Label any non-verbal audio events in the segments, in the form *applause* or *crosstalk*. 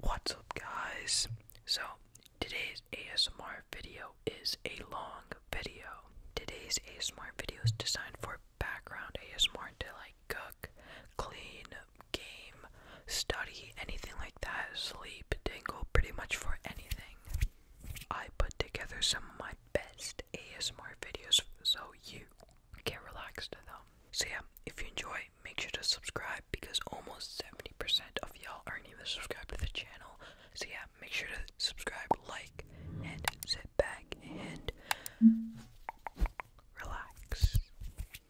What's up, guys? So, today's ASMR video is a long video. Today's ASMR video is designed for background ASMR to like cook, clean, game, study, anything like that, sleep, dangle, pretty much for anything. I put together some of my best ASMR videos so you can relax to them. So yeah, if you enjoy, make sure to subscribe because almost 70% of y'all aren't even subscribed to the channel. So yeah, make sure to subscribe, like, and sit back and relax.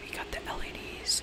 We got the LEDs.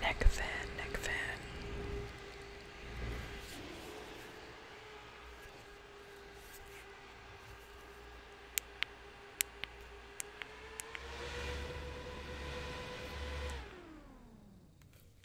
Neck fan, neck fan.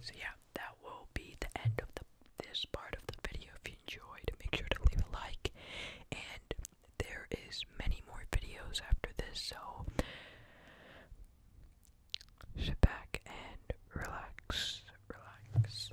So yeah, that will be the end of the this part of the video. If you enjoyed, make sure to leave a like. And there is many more videos after this, so sit back and relax, relax.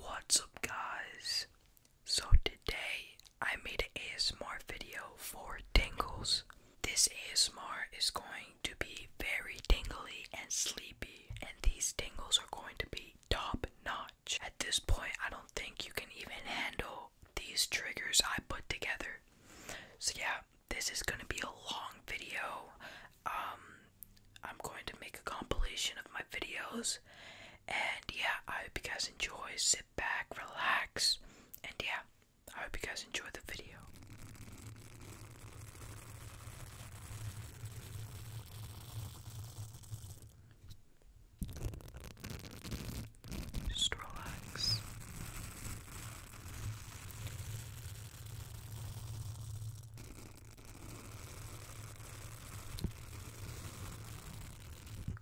What's up, guys? So, today I made a ASMR video for tingles. This ASMR is going to be very tingly and sleepy, and these tingles are going to be top notch. At this point, I don't think you can even handle these triggers I put together. So, yeah, this is going to be a long video. Um, I'm going to make a compilation of my videos, and yeah, I hope you guys enjoy. Sit back, relax, and yeah, I hope you guys enjoyed the video. Just relax.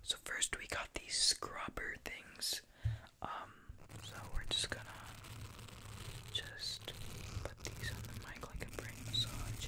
So, first we got these scrubber things. Um, so we're just gonna just put these on the mic like a brain massage.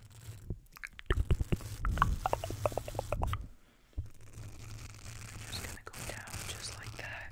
I'm just gonna go down just like that.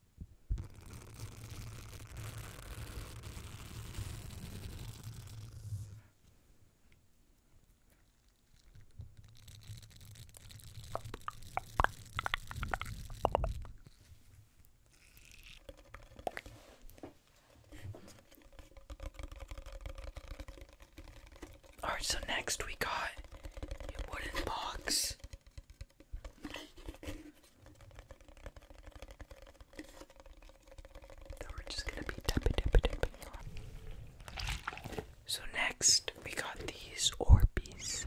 Alright, so next we got a wooden box so we're just gonna be tapping, tapping, tapping. So next, we got these Orbeez.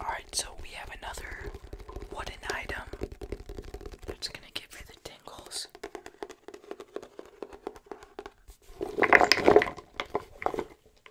Alright, so we have another wooden item that's gonna give you the tingles.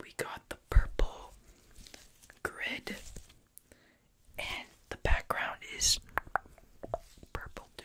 we got the purple grid, and the background is purple too.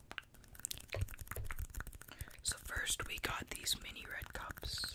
So, first we got these mini red cups.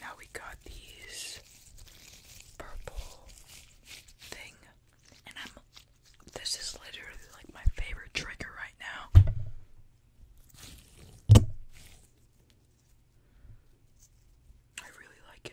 Now we got these purple thing and I'm this is literally like my favorite trigger right now. I really like it.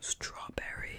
strawberry.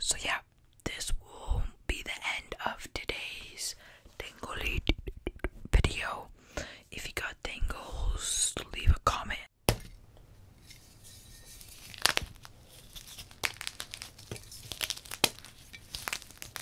So, yeah, this will be the end of today's tingly video. If you got tingles, leave a comment.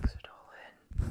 Put it all in.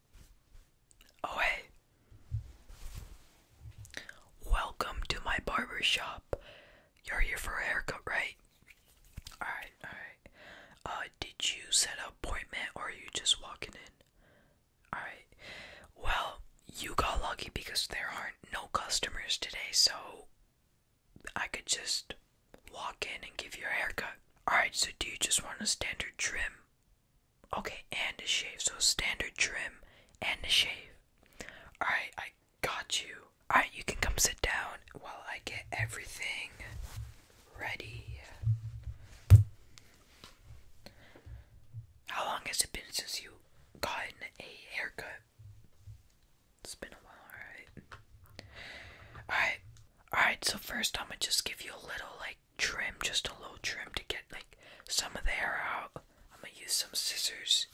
Oh, hey. Welcome to my barber shop. You're here for a haircut, right? Alright, alright. Uh, did you set an appointment or are you just walking in? Alright. Well, you got lucky because there aren't no customers today, so I could just walk in and give you a haircut. Alright, so do you just want a standard trim Okay, and a shave. So standard trim and a shave. Alright, I got you. Alright, you can come sit down while I get everything ready. How long has it been since you gotten a haircut? It's been a while, alright. Alright. Alright, so first I'm gonna just give you a little like trim, just a little trim to get like some of the hair out. I'm gonna use some scissors.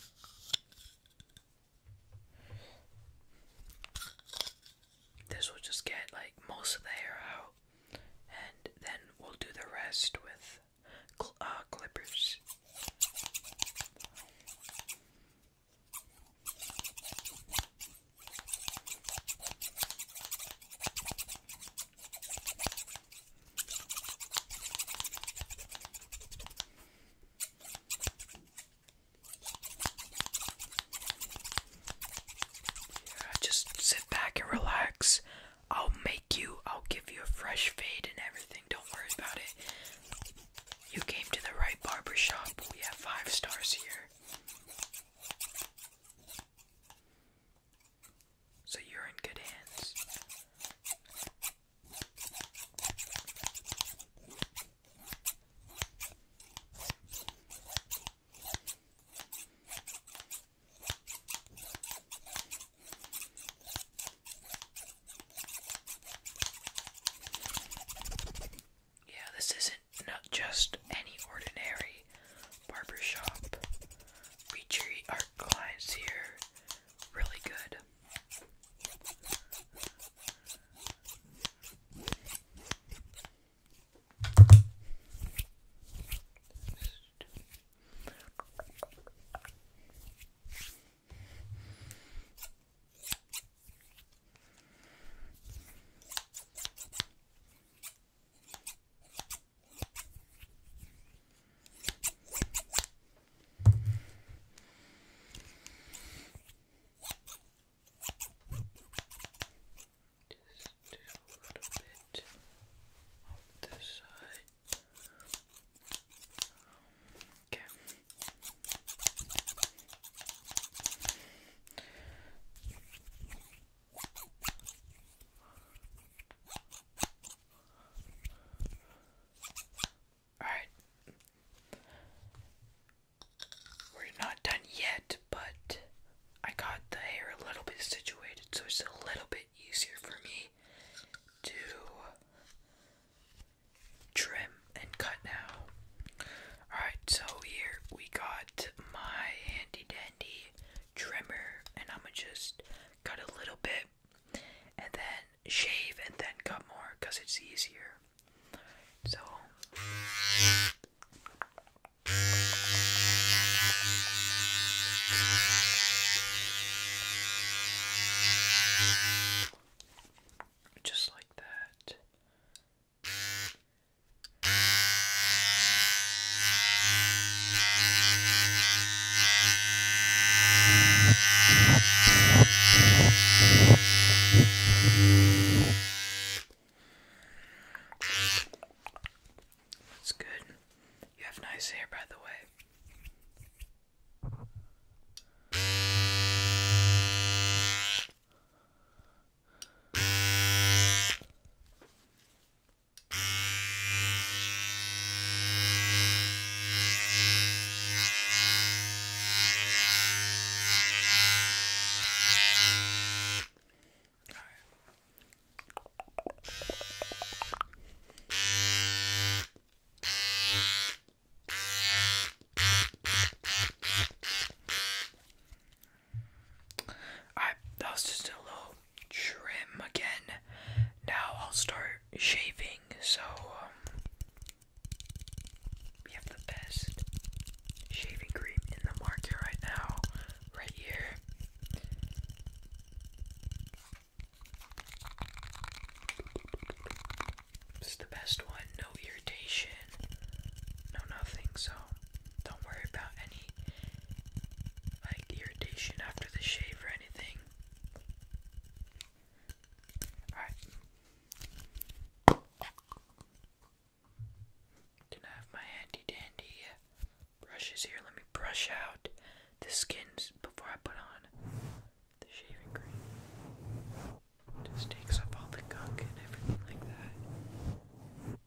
This will just get like most of the hair out, and then we'll do the rest with uh, clippers just sit back and relax. I'll make you, I'll give you a fresh fade and everything. Don't worry about it. You came to the right barbershop. We have five stars here. So you're in good hands. Yeah, this isn't not just any ordinary barbershop. We treat our clients here really good little bit off this side. Okay. Alright. We're not done yet, but I got the hair a little bit situated so it's a little bit easier for me to trim and cut now. Alright, so here we got my handy dandy trimmer and I'm gonna just cut a little bit and then shave and then cut more because it's easier. So. Just like that. That's good. You have nice hair, by the way. Alright, that was just a little trim again. Now I'll start shaving, so um, we have the best shaving cream in the market right now, right here. It's the best one, no irritation, no nothing, so don't worry about any like irritation after the shave or anything. Alright. Can I have my handy dandy uh, brushes here? Let me brush out the skins before I put on the shaving cream. Just takes off all the gunk and everything like that.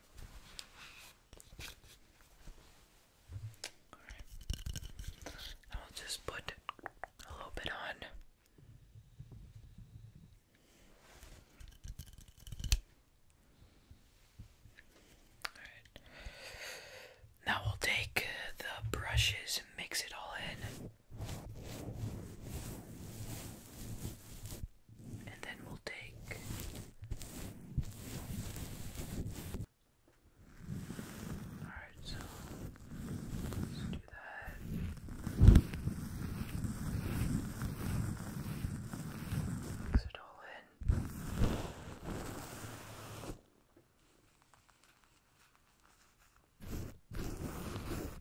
Alright. I will just put a little bit on. Alright. Now we'll take the brushes and mix it all in and then we'll take all right so do that mix it all in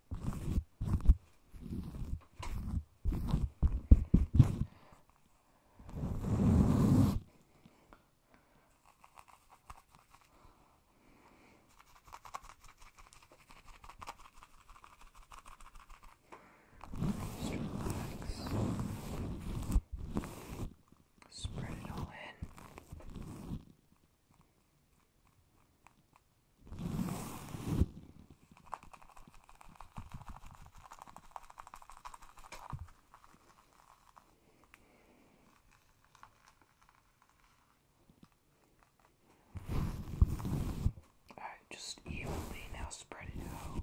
Just relax. Spread it all in. Alright, just evenly now spread it out.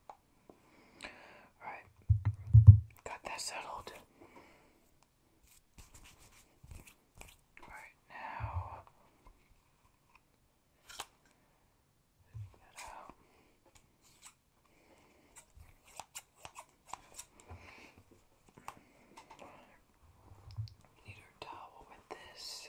Alright, got that settled. Alright, now. Need our towel with this.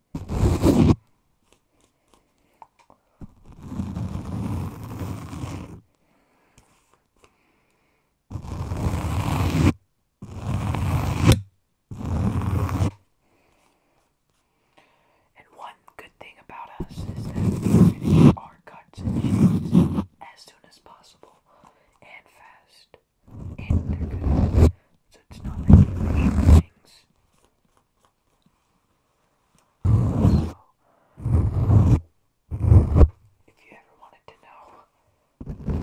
And one good thing about us is that we finish our cuts and cheeses as soon as possible and fast. And they're good. So it's not like we rush things. If you ever wanted to know,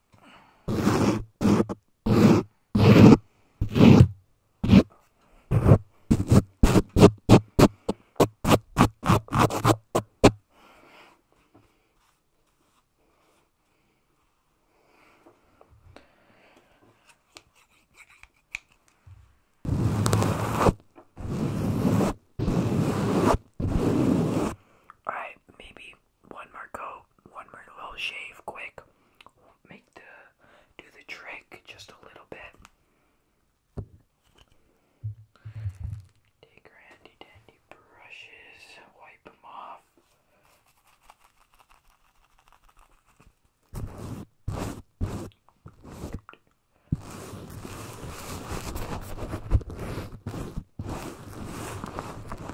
Alright, maybe one more coat, one more little shave, quick. Make the do the trick just a little bit. Take your handy dandy brushes, wipe them off.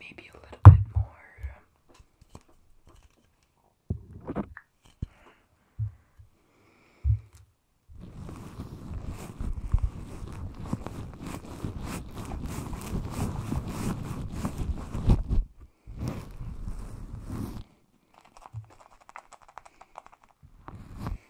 Maybe a little bit more.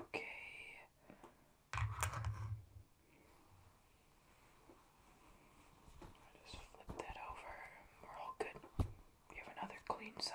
Okay. I'll just flip that over. We're all good. We have another clean side.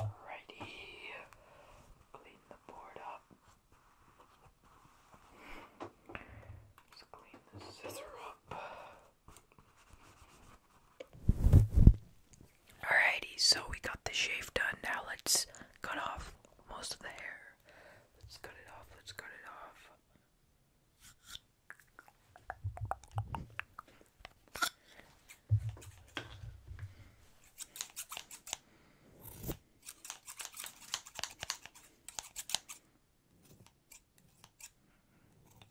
Alrighty, clean the board up. Let's clean the scissor up. Alrighty, so we got the shave done. Now let's cut off most of the hair. Let's cut it off, let's cut it off.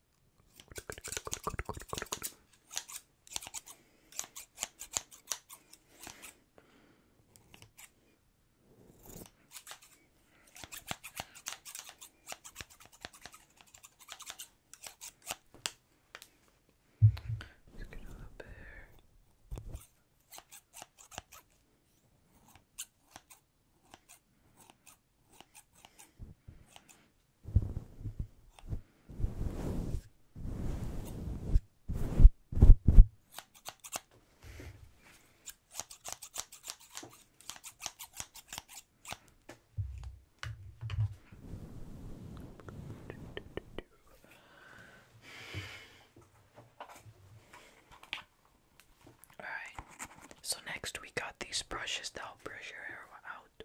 Let's get all up there. Good. Alright, so next we got these brushes to help brush your hair out.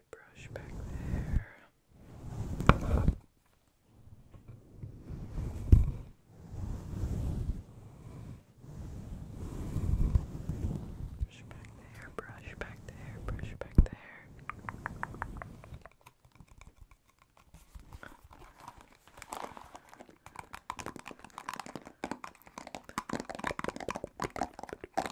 your brush back there. Brush back there, brush back there, brush back there. Brush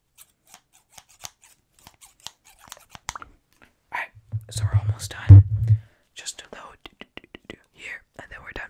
Alright, so we're almost done. Just a load here, and then we're done.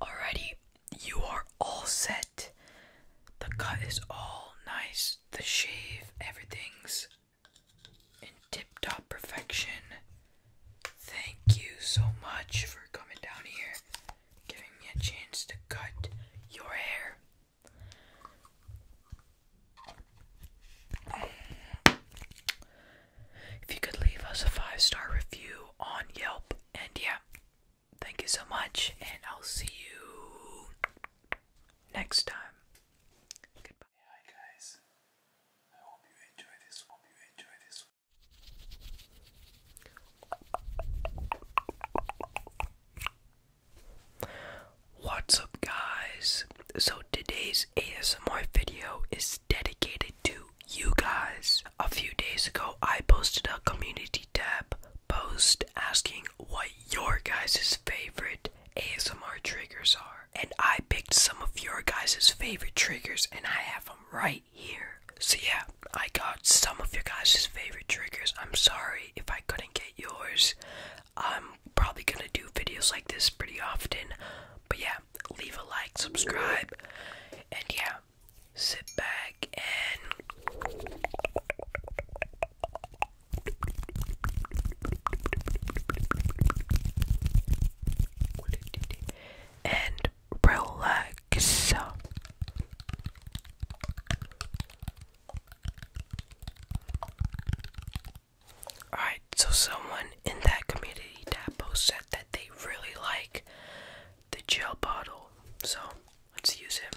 Alrighty, you are all set. The cut is all nice, the shave, everything's in tip top perfection. Thank you so much for coming down here giving me a chance to cut your hair. If you could leave us a five star review on Yelp, and yeah, thank you so much, and I'll see you next time. Goodbye. hi guys, I hope you enjoy this. Hope What's up, guys? So, today's ASMR video is dedicated to you guys. A few days ago, I posted a community tab post asking what your guys' favorite ASMR triggers are. And I picked some of your guys' favorite triggers, and I have them right here. So yeah, I got some of your guys' favorite triggers. I'm sorry if I couldn't get yours. I'm probably gonna do videos like this pretty often. But yeah, leave a like, subscribe, and yeah, sit back and and relax. Alright, so someone in that community tab post said that they really like the gel bottle. So let's use it.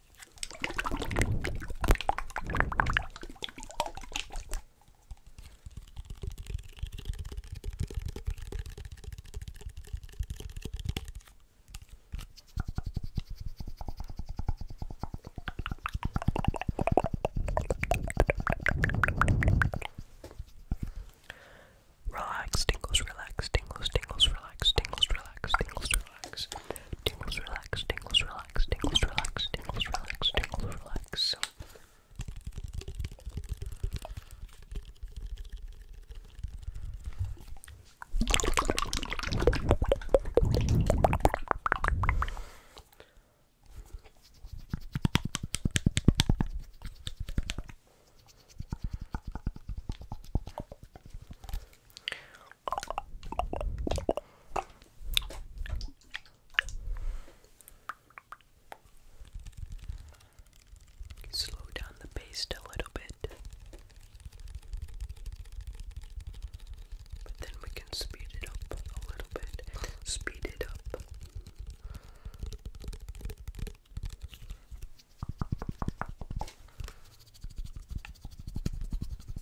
Relax, tingles, relax, tingles, tingles, relax, tingles, relax, tingles, relax relax. Tingles relax, tingles relax, tingles relax, tingles relax, tingles relax. Slow down the pace a little bit, but then we can speed it up a little bit. Speed it up.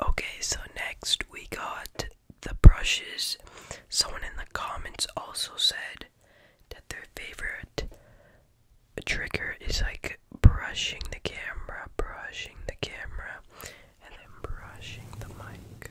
Okay, so next we got the brushes. Someone in the comments also said that their favorite trigger is like brushing the camera, brushing the camera, and then brushing the mic.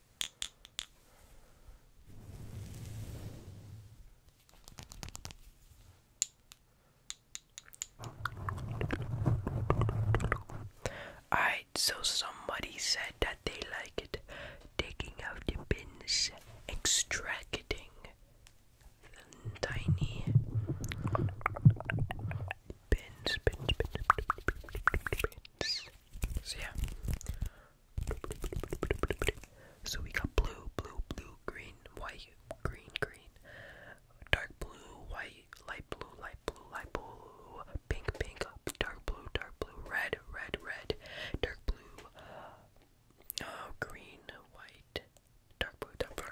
Alright, so somebody said that they like it taking out the pins, extracting the tiny pins, pins, pins, pins, pins. So, yeah, so we got blue, blue, blue, green, white, green, green, dark blue, white, light blue, light blue, light blue, pink, pink, dark blue, dark blue, red, red, red, dark blue, uh, oh, green, white, dark blue, dark blue.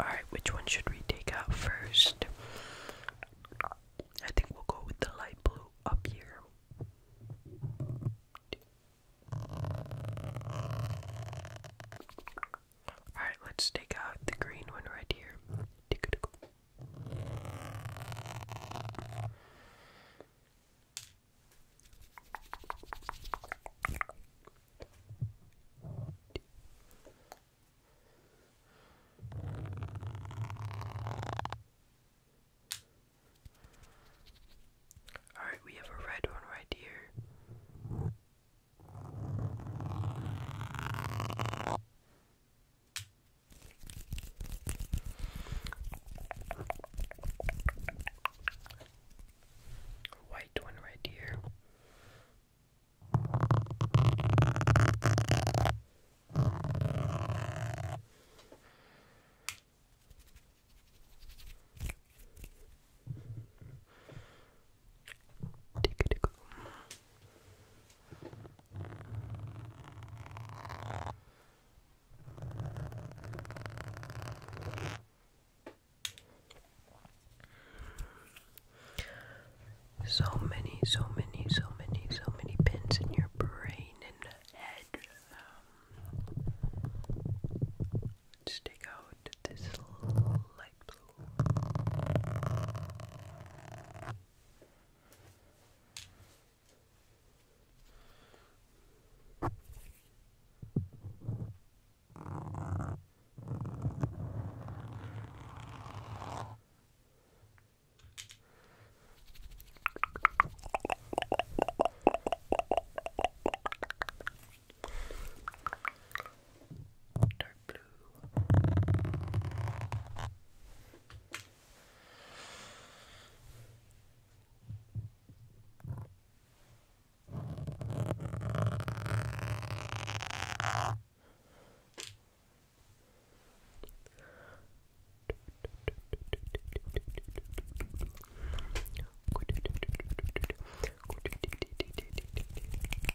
Alright, which one should we take out first? I think we'll go with the light blue up here. Alright, let's take out the green one right here. Alright, we have a red one right here. White one right here. So many, so many, so many, so many pins in your brain and head. Um, out this light blue dark blue. Good. *laughs*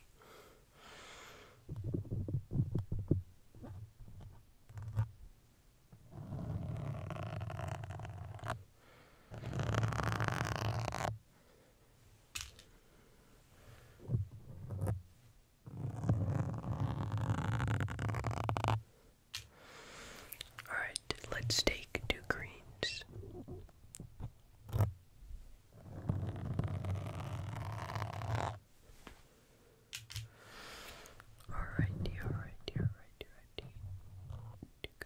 All right, let's take two greens. Alrighty, alrighty, alrighty, alrighty. Tick.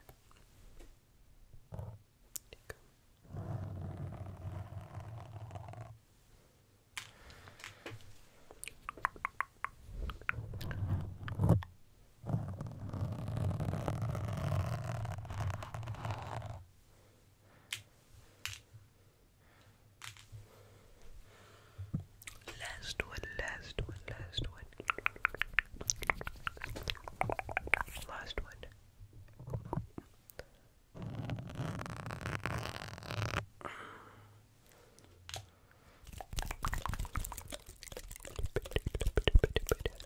Tick. Tick. Last one, last one, last one. Last one.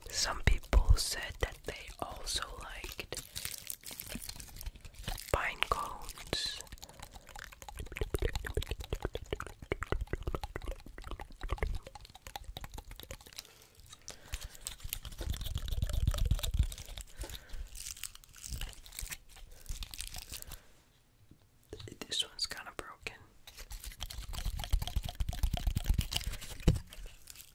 Some people said that they also liked pine cones. This one's kind of broken.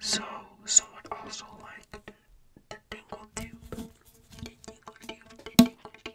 So someone also liked the tingle tube. The tingle tube, the tingle tube.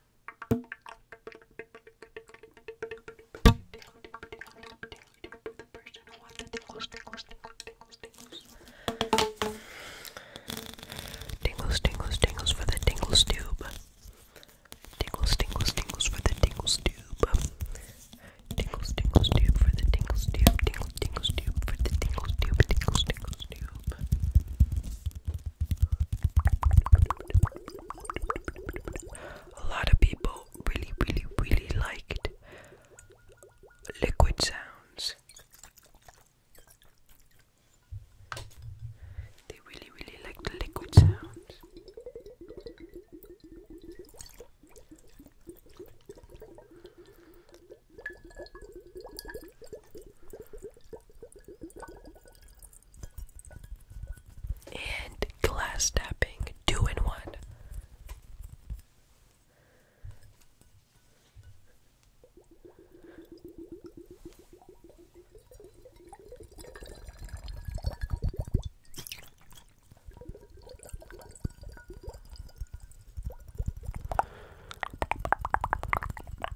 Tingles, tingles, tingles for the tingles tube. Tingles, tingles, tingles for the tingles tube. Tingles, tingles tube for the tingles tube. Tingles, tingles tube for the tingles tube. Tingles, tingles tube. A lot of people really, really, really liked liquid sounds. They really, really like the liquid sounds. And glass tapping, doing what?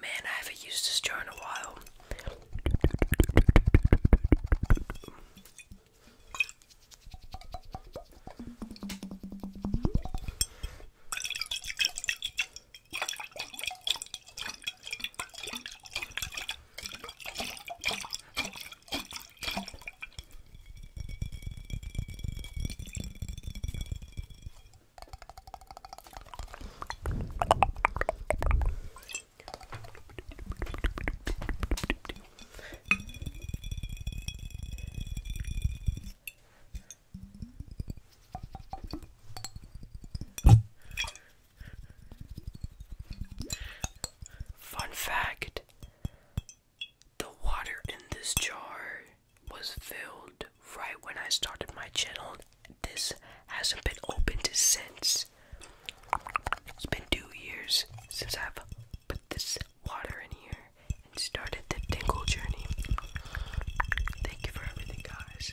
Man, I haven't used this jar in a while. Fun fact the water in this jar was filled right when I started my channel this hasn't been opened since. It's been two years since I've put this water in here and started the tingle journey. Thank you for everything, guys.